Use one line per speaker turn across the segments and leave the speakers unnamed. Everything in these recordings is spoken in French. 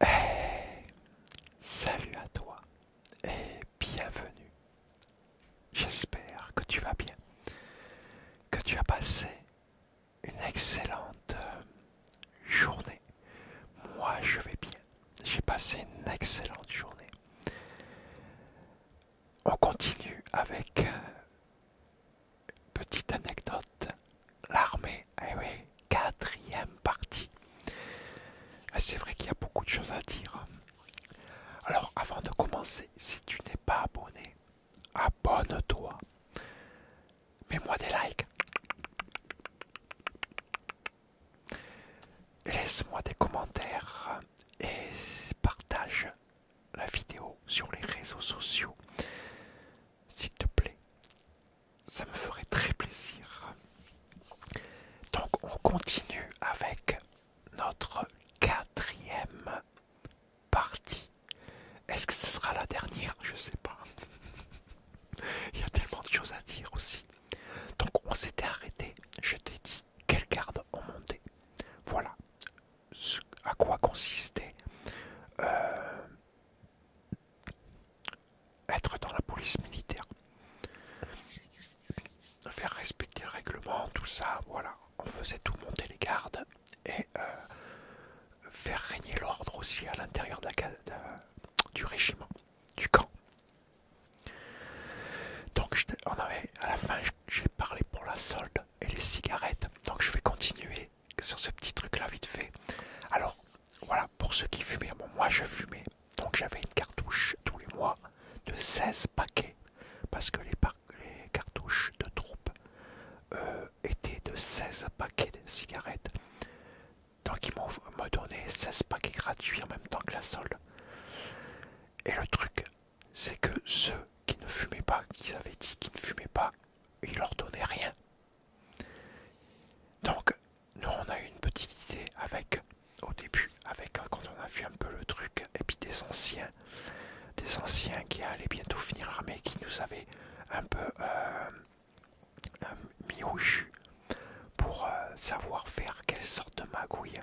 salut à toi et bienvenue. J'espère que tu vas bien, que tu as passé une excellente euh, journée. Moi, je vais bien. J'ai passé une excellente journée. On continue avec euh, petite anecdote, l'armée, eh oui, quatrième partie. Eh, c'est vrai qu'il y a beaucoup de choses à dire. Alors avant de commencer, si tu n'es pas abonné, abonne-toi. Mets-moi des likes. Laisse-moi des commentaires et partage la vidéo sur les réseaux sociaux s'il te plaît. Ça me ferait très plaisir. Donc on continue avec notre quatrième partie. Est-ce que ce sera la dernière Je sais pas. Il y a tellement de choses à dire aussi. Donc on s'était arrêté. Je t'ai dit quelle garde on montait. Voilà à quoi consistait euh, être dans la police militaire, faire respecter le règlement, tout ça, voilà. On faisait tout monter les gardes et euh, faire régner l'ordre aussi à l'intérieur du régiment, du camp. Donc on avait, à la fin, j'ai parlé pour la solde et les cigarettes. Donc je vais continuer sur ce petit truc là vite fait. Alors voilà, pour ceux qui fumaient, moi je fumais, donc j'avais une cartouche tous les mois de 16 paquets, parce que les, cartouches de troupe euh, étaient de 16 paquets de cigarettes. Donc ils m'ont donné 16 paquets gratuits en même temps que la solde. Et le truc, c'est que ceux qui ne fumaient pas, qu'ils avaient dit qu'ils ne fumaient pas, ils leur donnaient rien. Donc, nous on a eu une petite idée avec, au début, avec hein, quand on a vu un peu le truc, et puis des anciens, qui allaient bientôt finir l'armée, qui nous avaient un peu euh, euh, mis au jus pour euh, savoir faire quelle sorte de magouille.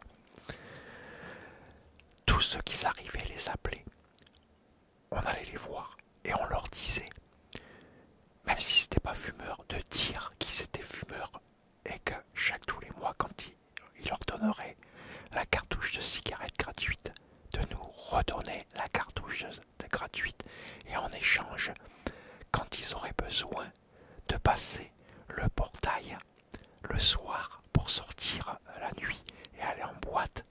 Tous ceux qui arrivaient les appelaient on allait les voir et on leur disait, même si c'était pas fumeur, de dire qu'ils étaient fumeurs et que chaque tous les mois, quand ils leur donnerait la cartouche de cigarette gratuite, de nous redonner la cartouche de gratuite et en échange, quand ils auraient besoin de passer le portail le soir pour sortir la nuit et aller en boîte,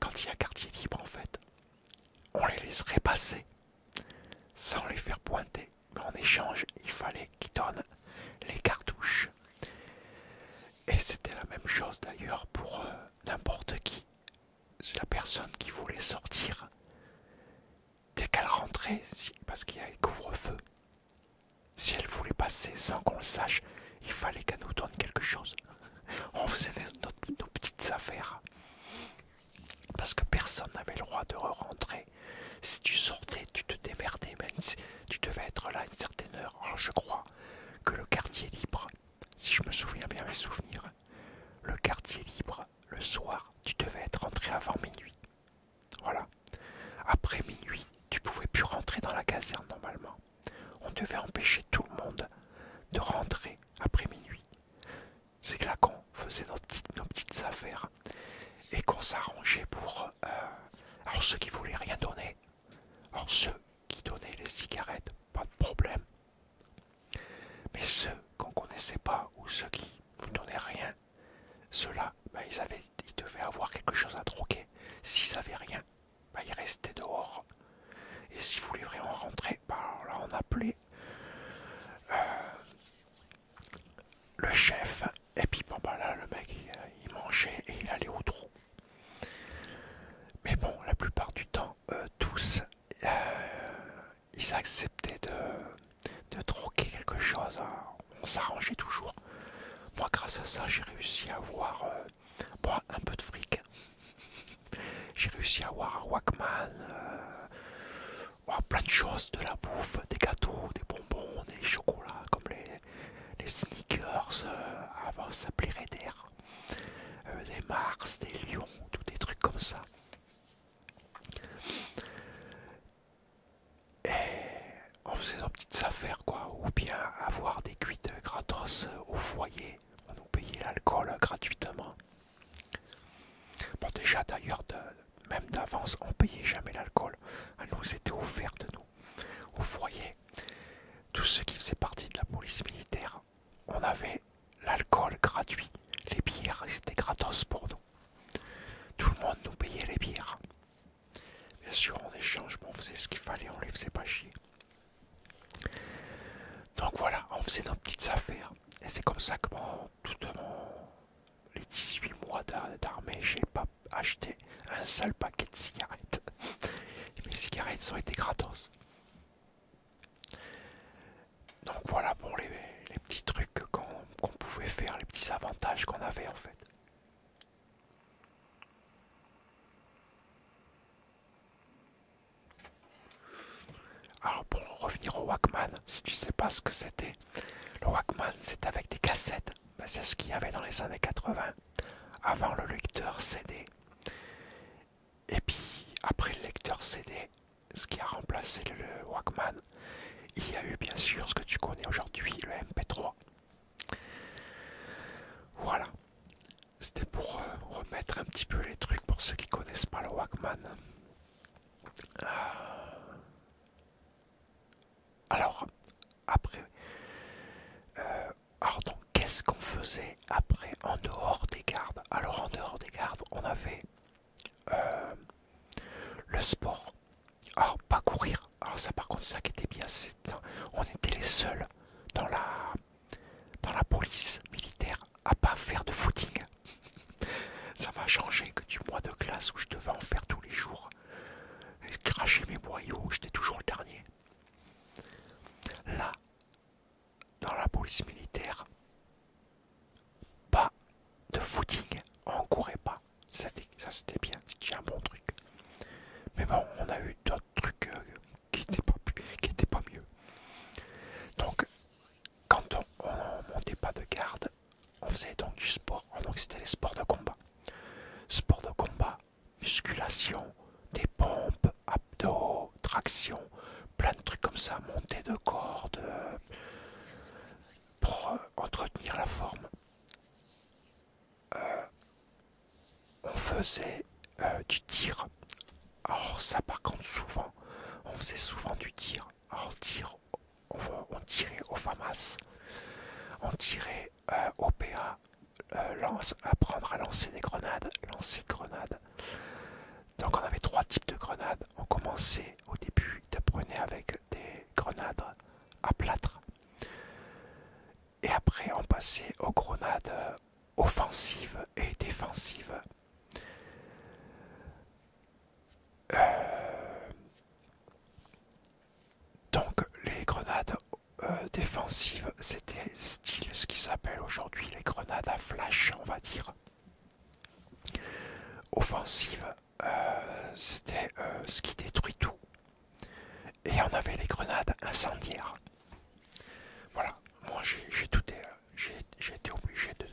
quand il y a quartier libre, en fait, on les laisserait passer sans les faire pointer. Mais en échange, il fallait qu'ils donnent les cartouches. Et c'était la même chose d'ailleurs pour euh, n'importe qui. C'est La personne qui voulait sortir, dès qu'elle rentrait, parce qu'il y avait couvre-feu, si elle voulait passer sans qu'on le sache, il fallait qu'elle nous donne quelque chose. on faisait nos, petites affaires. Parce que personne n'avait le droit de re rentrer. Si tu sortais, tu te démerdais, mais tu devais être là à une certaine heure. Oh, je crois que le quartier libre, si je me souviens bien mes souvenirs, le quartier libre, le soir, tu devais être rentré avant minuit. Voilà. Après minuit, tu pouvais plus rentrer dans la caserne normalement. On devait empêcher tout le monde de rentrer après minuit. C'est là qu'on faisait nos petites, affaires et qu'on s'arrangeait pour... Euh, alors ceux qui voulaient rien donner, alors ceux qui donnaient les cigarettes, pas de problème. Mais ceux qu'on connaissait pas ou ceux qui ne donnaient rien, ceux-là, bah, ils, ils devaient avoir quelque chose à troquer. S'ils n'avaient rien, bah, il restait dehors. Et si vous vraiment rentrer, bah, là on appelait euh, le chef. Et puis bon, bah, là le mec il, mangeait et il allait au trou. Mais bon, la plupart du temps, euh, tous, euh, ils acceptaient de, de troquer quelque chose. Hein. On s'arrangeait toujours. Moi, grâce à ça, j'ai réussi à voir Bon, un peu de fric. J'ai réussi à avoir un Walkman, euh, oh, plein de choses, de la bouffe, des gâteaux, des bonbons, des chocolats, comme les, sneakers, euh, avant ça s'appelait Raider, euh, des Mars, des Lions, tous des trucs comme ça. Et on faisait nos petites affaires, quoi, ou bien avoir des cuites gratos au foyer. On nous payait l'alcool gratuitement. Bon, déjà d'ailleurs, même d'avance, on payait jamais l'alcool. Elle nous était offerte de nous. Au foyer, tous ceux qui faisaient partie de la police militaire, on avait l'alcool gratuit. Les bières, c'était gratos pour nous. Tout le monde nous payait les bières. Bien sûr, en échange, on faisait ce qu'il fallait, on les faisait pas chier. Donc voilà, on faisait nos petites affaires. Et c'est comme ça que pendant tout les 18 mois d'armée, j'ai pas acheté un seul paquet de cigarettes. mes cigarettes ont été gratos. Donc voilà pour les, petits trucs qu'on pouvait faire, les petits avantages qu'on avait en fait. Alors pour revenir au Walkman, si tu sais pas ce que c'était, le Walkman c'est avec des cassettes, ben, c'est ce qu'il y avait dans les années 80, avant le lecteur CD. Et puis après le lecteur CD, ce qui a remplacé le Walkman, il y a eu bien sûr ce que tu connais aujourd'hui, le MP3. Voilà. C'était pour euh, remettre un petit peu les trucs pour ceux qui connaissent pas le wagman ah. Alors, après, euh, qu'est-ce qu'on faisait après en dehors des gardes Alors en dehors des gardes, on avait euh, le sport. Alors pas courir. Alors ça par contre, ça qui était bien, c'est on était les seuls dans la dans la police militaire à pas faire de footing. Ça va changer que du mois de classe où je devais en faire tous les jours. Et cracher mes boyaux, j'étais toujours le dernier. Là, dans la police militaire, pas de footing, on courait pas. Ça c'était bien, c'était un bon truc. Mais bon, on a eu d'autres trucs euh, qui n'était pas, mieux. Donc, quand on montait pas de garde, on faisait donc du sport. Ah, donc, c'était les sports de combat. Sport de combat, musculation, des pompes, abdos, traction, plein de trucs comme ça, montée de corde, euh, pour euh, entretenir la forme. Euh, on faisait euh, du tir. Alors ça par contre souvent, on faisait souvent du tir. Alors on, tirait au FAMAS, on tirait euh, au PA, lance, apprendre à lancer des grenades, lancer grenades. Donc on avait trois types de grenades. On commençait au début, prenait avec des grenades à plâtre. Et après, on passait aux grenades euh, offensives et défensives. Euh, donc, les grenades euh, défensives, c'était ce qui s'appelle aujourd'hui les grenades à flash, on va dire. Offensives, c'était ce qui détruit tout et on avait les grenades incendiaires. Voilà, moi j'ai tout euh, j'ai été obligé de,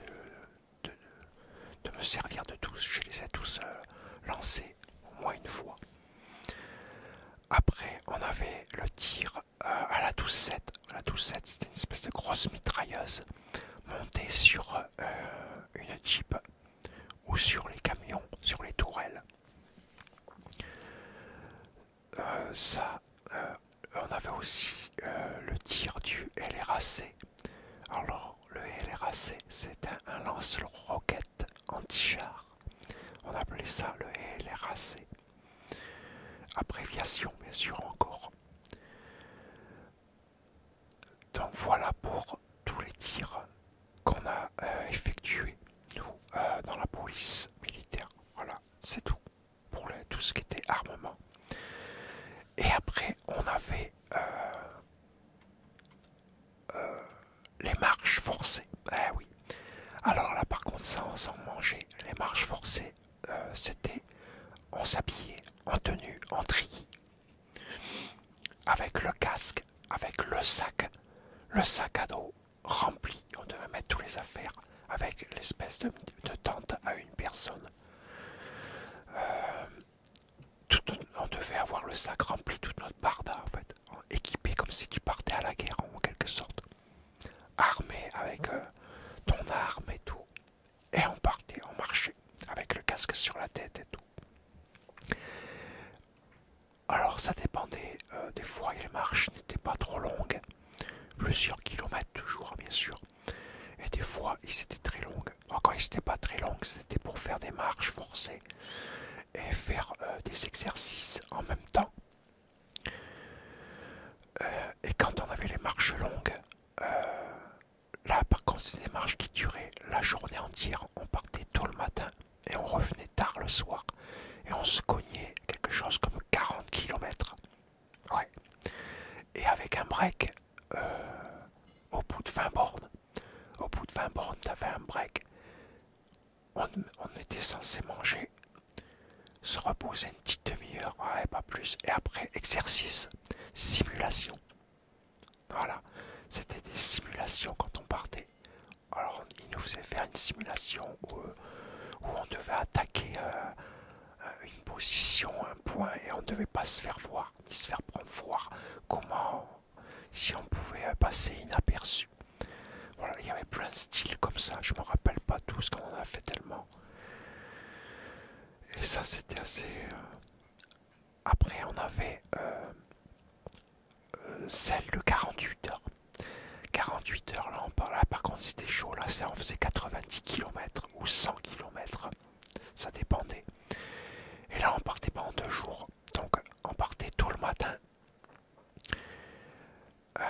de, me servir de tous, je les ai tous euh, lancés au moins une fois. Après, on avait le tir euh, à la 12-7. La 12-7, c'était une espèce de grosse mitrailleuse montée sur une Jeep ou sur les camions, sur les tourelles. Euh, ça, euh, on avait aussi euh, le tir du LRAC. Alors, le LRAC, c'est un, lance-roquette anti-char. On appelait ça le LRAC. Abréviation, bien sûr, encore. Donc voilà pour tous les tirs qu'on a effectués nous euh, dans la police militaire. Voilà, c'est tout pour tout ce qui était armement. Et après, on avait euh, euh, les marches forcées. Eh oui. Alors là, par contre, ça, on s'en mangeait. Les marches forcées, c'était on s'habillait en tenue, en tri, avec le casque, avec le sac, le sac à dos rempli. On devait mettre toutes les affaires avec l'espèce de, tente à une personne. Euh, on devait avoir le sac rempli, toute notre barda en fait, équipé comme si tu partais à la guerre en quelque sorte, armé avec euh, ton arme et tout. Et on partait, on marchait avec le casque sur la tête et tout. Alors ça dépendait, euh, des fois les marches n'étaient pas trop longues, plusieurs kilomètres toujours bien sûr, et des fois ils étaient très longues. Encore, quand ils n'étaient pas très longues, c'était pour faire des marches forcées et faire euh, des exercices en même temps. Euh, et quand on avait les marches longues, là par contre c'est des marches qui duraient la journée entière, on partait tôt le matin et on revenait tard le soir et on se cognait quelque chose comme 40 km. Ouais. Et avec un break euh, au bout de 20 bornes, au bout de 20 bornes, t'avais un break. On, on était censé manger, se reposer une petite demi-heure, ouais, pas plus, et après exercice, simulation. Voilà, c'était des simulations quand on partait. Alors il nous faisait faire une simulation où, euh, on devait attaquer euh, euh, une position, un point, et on ne devait pas se faire voir, ni se faire prendre voir comment, si on pouvait passer inaperçu. Voilà, il y avait plein de styles comme ça, je me rappelle pas tout ce qu'on en a fait tellement. Et ça c'était assez... Après on avait celle de 48 heures. 48 heures, là, on parle, là ah, par contre c'était chaud, là on faisait 90 km ou 100 km, ça dépendait. Et là on partait pas deux jours, donc on partait tout le matin. Euh,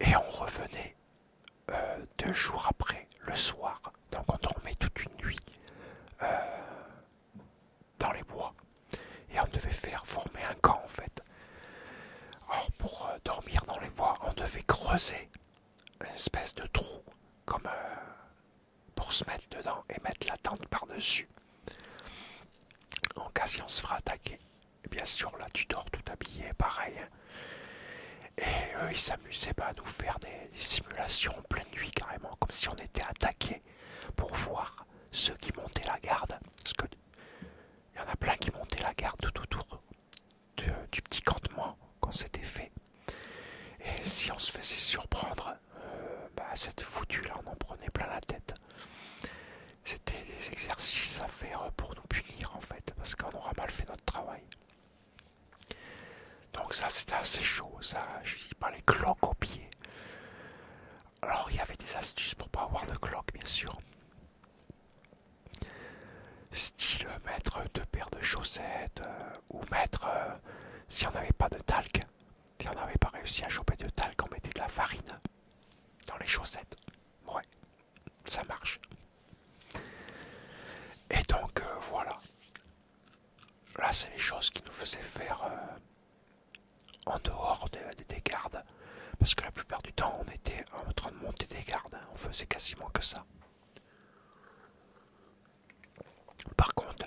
et on revenait euh, deux jours après, le soir, donc on dormait toute une nuit. Euh, dans les bois. Et on devait faire former un camp en fait. Or pour euh, dormir dans les bois, on devait creuser une espèce de trou comme euh, pour se mettre dedans et mettre la tente par-dessus. En cas si on se fera attaquer. bien sûr là tu dors tout habillé, pareil. Hein. Et eux ils s'amusaient pas à nous faire des, simulations en pleine nuit carrément, comme si on était attaqué pour voir ceux qui montaient la garde. Il y en a plein qui montaient la garde tout autour du petit campement quand c'était fait. Et si on se faisait surprendre, euh, bah, cette foutue-là, on en prenait plein la tête. C'était des exercices à faire pour nous punir, en fait, parce qu'on aura mal fait notre travail. Donc ça, c'était assez chaud, ça, je dis pas les cloques aux pieds. Alors il y avait des astuces pour pas avoir de cloque bien sûr. Style euh, mettre deux paires de chaussettes euh, ou mettre euh, si on n'avait pas de talc, si on n'avait pas réussi à choper de talc, on mettait de la farine dans les chaussettes. Ouais, ça marche. Et donc voilà. Là c'est les choses qui nous faisaient faire en dehors des, gardes. Parce que la plupart du temps, on était en train de monter des gardes. On faisait quasiment que ça. Par contre,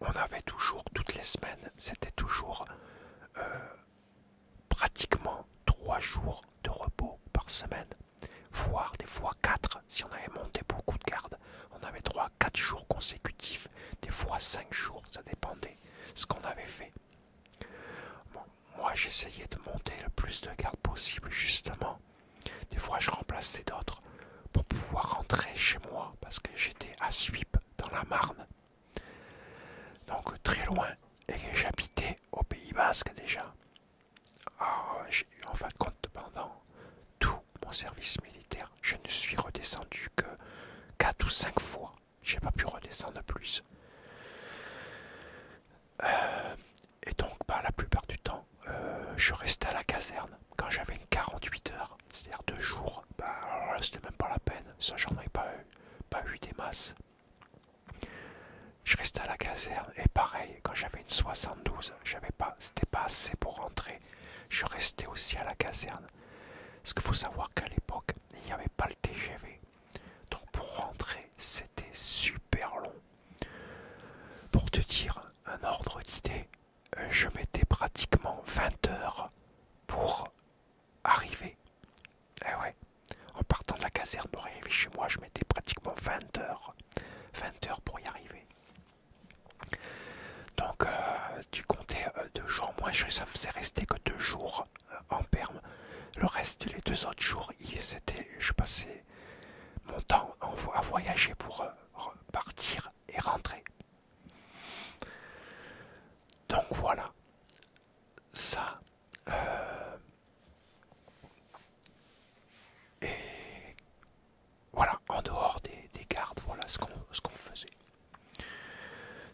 on avait toujours, toutes les semaines, c'était toujours euh, pratiquement 3 jours de repos par semaine. Voire des fois 4. Si on avait monté beaucoup de gardes, on avait 3-4 jours consécutifs. Des fois 5 jours, ça dépendait ce qu'on avait fait. moi j'essayais de monter le plus de gardes possible justement. Des fois je remplaçais d'autres pour pouvoir rentrer chez moi parce que j'étais à suippes dans la Marne. Donc très loin et que j'habitais au Pays Basque déjà. Ah, en fin de compte, pendant tout mon service militaire, je ne suis redescendu que 4 ou 5 fois. J'ai pas pu redescendre plus. Euh, et donc, bah, la plupart du temps, euh, je restais à la caserne quand j'avais une 48 heures, c'est-à-dire deux jours. Bah, c'était même pas la peine, ça j'en ai pas eu, pas eu des masses. Je restais à la caserne et pareil, quand j'avais une 72, j'avais pas, c'était pas assez pour rentrer. Je restais aussi à la caserne. Ce qu'il faut savoir qu'à l'époque, il n'y avait pas le TGV. Donc pour rentrer, c'était super long. Pour te dire un ordre d'idée, euh, je mettais pratiquement 20 heures pour arriver. Et eh ouais, en partant de la caserne pour arriver chez moi, je mettais pratiquement 20 heures. 20 heures pour y arriver. Donc euh, tu comptais euh, deux jours moins je ça faisait rester que deux jours euh, en Perme. Le reste, les deux autres jours, c'était, je passais mon temps en à voyager pour euh, partir et rentrer. Donc voilà, ça. et voilà, en dehors des, gardes, voilà ce qu'on faisait.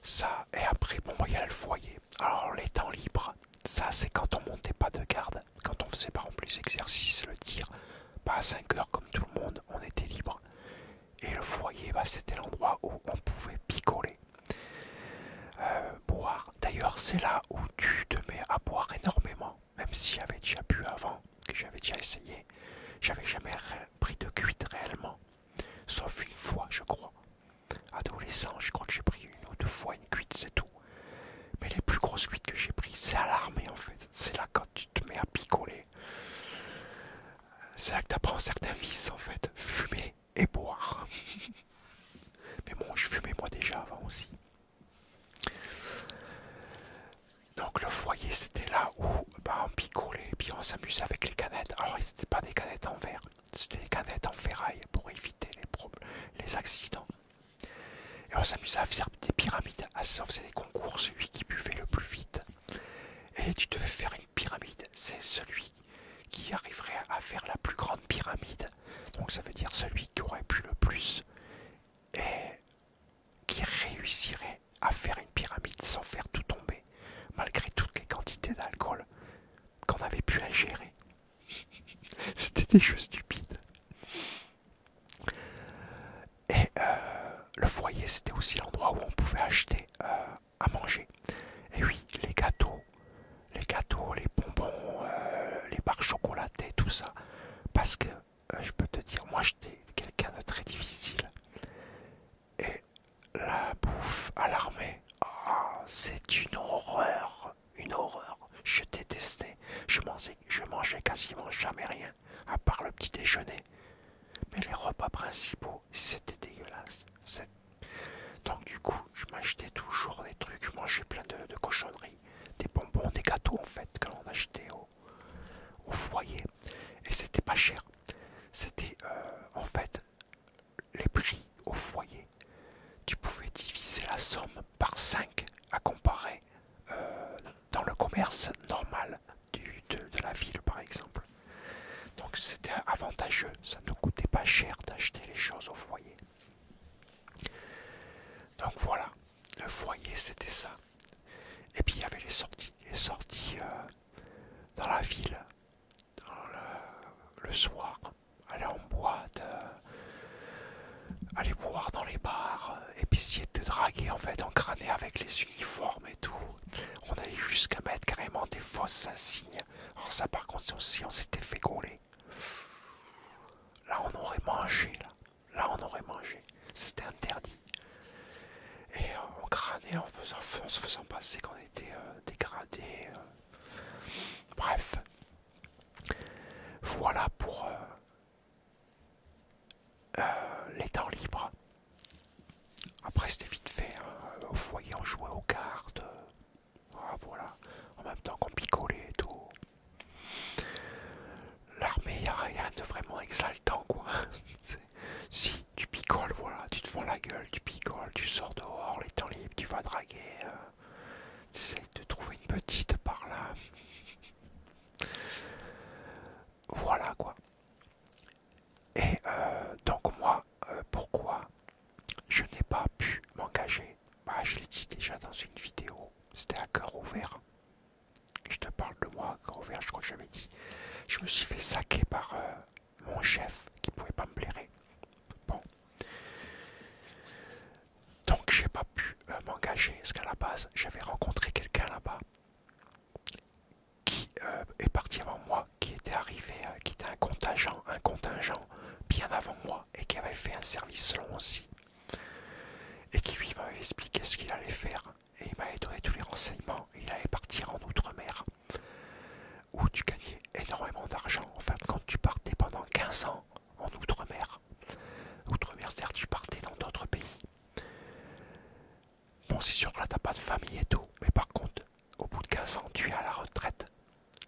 Ça, et après, bon, il y a le foyer. Alors, les temps libres, ça, c'est quand on montait pas de garde. Quand on faisait pas en plus exercice le tir, pas bah, à 5 heures comme tout le monde, on était libre. Et le foyer, bah, c'était l'endroit où on pouvait picoler, euh, boire. D'ailleurs, c'est là où tu te mets à boire énormément, même si j'avais déjà bu avant, que j'avais déjà essayé, j'avais jamais pris de cuite réellement. Sauf une fois, je crois. Adolescent, je crois que j'ai pris une ou deux fois une cuite, c'est tout. Mais les plus grosses cuites que j'ai prises, c'est à l'armée en fait. C'est là quand tu te mets à picoler. C'est là que tu apprends certains vices en fait. Fumer et boire. Mais bon, je fumais moi déjà avant aussi. Donc le foyer, c'était là où on bah, picolait et puis on s'amusait avec les canettes. Alors, c'était pas des canettes en verre, c'était des canettes en ferraille pour éviter les, les accidents. Et on s'amusait à faire des pyramides. À ah, ça, des concours, celui qui buvait le plus vite. Et tu devais faire une pyramide, c'est celui qui arriverait à faire la plus grande pyramide. Donc, ça veut dire celui qui aurait pu le plus et qui réussirait à faire une pyramide sans faire tout tomber, malgré toutes les quantités d'alcool qu'on avait pu ingérer. C'était des choses stupides. Et euh, le foyer, c'était aussi l'endroit où on pouvait acheter euh, à manger. Et oui, les gâteaux, les gâteaux, les bonbons, euh, les barres chocolatées, tout ça. Parce que je peux te dire, moi j'étais quelqu'un de très difficile et la bouffe à l'armée. Ah, c'est une horreur, une horreur. Je détestais, je mangeais, je mangeais quasiment jamais rien, à part le petit déjeuner. Mais les repas principaux, c'était dégueulasse. Donc du coup, je m'achetais toujours des trucs, je mangeais plein de, cochonneries, des bonbons, des gâteaux en fait, que l'on achetait au, au foyer et c'était pas cher. C'était euh, en fait les prix au foyer. Tu pouvais diviser la somme par 5 à comparer euh, dans le commerce normal de, la ville par exemple. Donc c'était avantageux, ça ne coûtait pas cher d'acheter les choses au foyer. Donc voilà, le foyer c'était ça. Et puis il y avait les sorties. Les sorties euh, dans la ville, le, soir, aller en boîte, euh, aller boire dans les bars, et euh, puis essayer de te draguer en fait, en crâner avec les uniformes et tout. On allait jusqu'à mettre carrément des fausses insignes. Alors ça par contre, si on s'était fait gauler, là on aurait mangé, là, là on aurait mangé. C'était interdit. Et on crânait en, en se faisant passer qu'on était euh, dégradé. Euh. Bref. Voilà pour euh, les temps libres. Après c'était vite fait. Hein. Au foyer on jouait aux cartes. Ah, voilà. En même temps qu'on picolait et tout. L'armée, il n'y a rien de vraiment exaltant quoi. si, tu picoles, voilà, tu te fous la gueule, tu picoles, tu sors dehors, les temps libres, tu vas draguer, hein. tu essaies de trouver une petite par là. voilà quoi. Et euh, donc moi, euh, pourquoi je n'ai pas pu m'engager bah, Je l'ai dit déjà dans une vidéo, c'était à cœur ouvert. Je te parle de moi à cœur ouvert, je crois que l'ai dit. Je me suis fait saquer par... Euh, mon chef qui pouvait pas me plaire Bon. Donc j'ai pas pu euh, m'engager, parce qu'à la base, j'avais rencontré quelqu'un là-bas qui euh, est parti avant moi, qui était arrivé, euh, qui était un contingent, un contingent bien avant moi, et qui avait fait un service long aussi. Et qui lui m'avait expliqué ce qu'il allait faire, et il m'avait donné tous les renseignements, il allait partir en Outre-mer où tu gagnais énormément d'argent. En de quand tu partais pendant 15 ans en Outre-mer, Outre-mer, c'est-à-dire tu partais dans d'autres pays. Bon, c'est sûr que là, t'as pas de famille et tout, mais par contre, au bout de 15 ans, tu es à la retraite.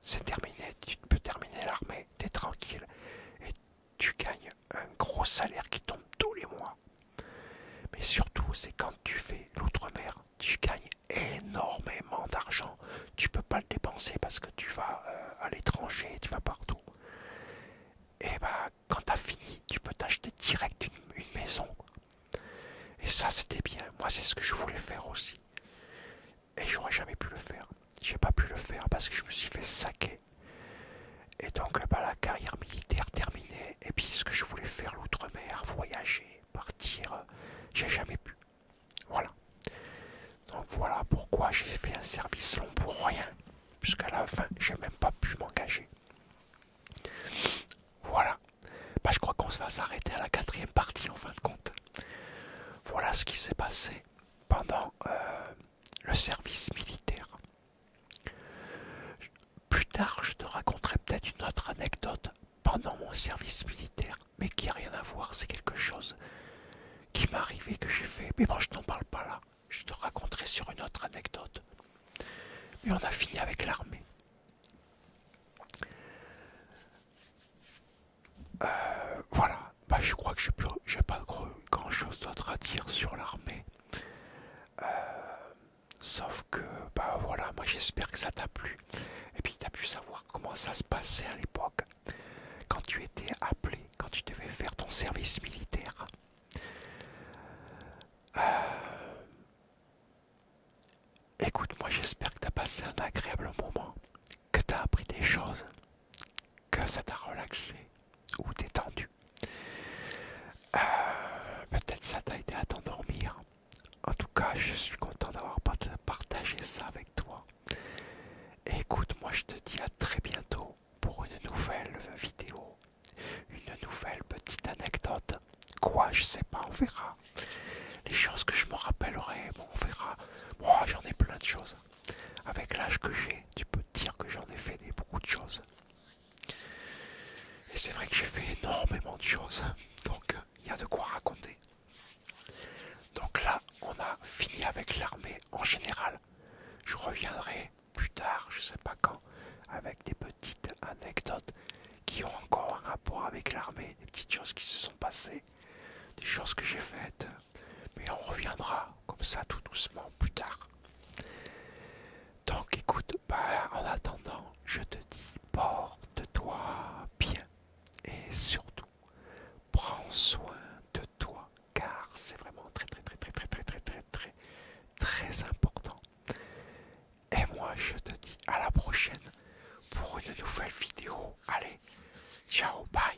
C'est terminé, tu peux terminer l'armée, t'es tranquille et tu gagnes un gros salaire qui tombe tous les mois. Mais surtout, c'est quand tu fais l'outre-mer, tu gagnes énormément d'argent. Tu peux pas le dépenser parce que tu vas euh, à l'étranger, tu vas partout. Et eh bah, ben, quand as fini, tu peux t'acheter direct une, maison. Et ça, c'était bien. Moi, c'est ce que je voulais faire aussi. Et j'aurais jamais pu le faire. J'ai pas pu le faire parce que je me suis fait saquer. Et donc, pas bah, la carrière militaire terminée. Et puis, ce que je voulais faire l'outre-mer, voyager, partir, j'ai jamais pu. Voilà. Donc voilà pourquoi j'ai fait un service long pour rien, jusqu'à la fin, j'ai même pas pu m'engager. Voilà. Bah, je crois qu'on va s'arrêter à la quatrième partie en fin de compte. Voilà ce qui s'est passé pendant euh, le service militaire. Plus tard, je te raconterai peut-être une autre anecdote pendant mon service militaire, mais qui n'a rien à voir, c'est quelque chose qui m'est arrivé, que j'ai fait. Mais bon, je t'en parle pas là, je te raconterai sur une autre anecdote. Mais on a fini avec l'armée. Euh, voilà, bah, je crois que je n'ai pas grand chose d'autre à dire sur l'armée. Euh, Sauf que, bah voilà, moi j'espère que ça t'a plu. Et puis t'as pu savoir comment ça se passait à l'époque, quand tu étais appelé, quand tu devais faire ton service militaire. Euh, écoute, moi j'espère que t'as passé un agréable moment, que t'as appris des choses, que ça t'a relaxé ou détendu. Euh, peut-être ça t'a aidé à t'endormir. En tout cas, je suis content d'avoir partagé ça avec toi. Et écoute, moi je te dis à très bientôt pour une nouvelle vidéo, une nouvelle petite anecdote. Quoi, je sais pas, on verra. Les choses que je me rappellerai, on verra. Moi, j'en ai plein de choses. Avec l'âge que j'ai, tu peux dire que j'en ai fait beaucoup de choses. Et c'est vrai que j'ai fait énormément de choses, donc il y a de quoi raconter. Donc là, on a fini avec l'armée en général. Je reviendrai plus tard, je sais pas quand, avec des petites anecdotes qui ont encore un rapport avec l'armée, des petites choses qui se sont passées, des choses que j'ai faites, mais on reviendra comme ça tout doucement plus tard. Donc écoute, bah, en attendant, je te dis, porte-toi bien et surtout, prends soin de toi car c'est vraiment très très très très très très très très très très important. Et moi, je te dis à la prochaine pour une nouvelle vidéo. Allez, ciao, bye.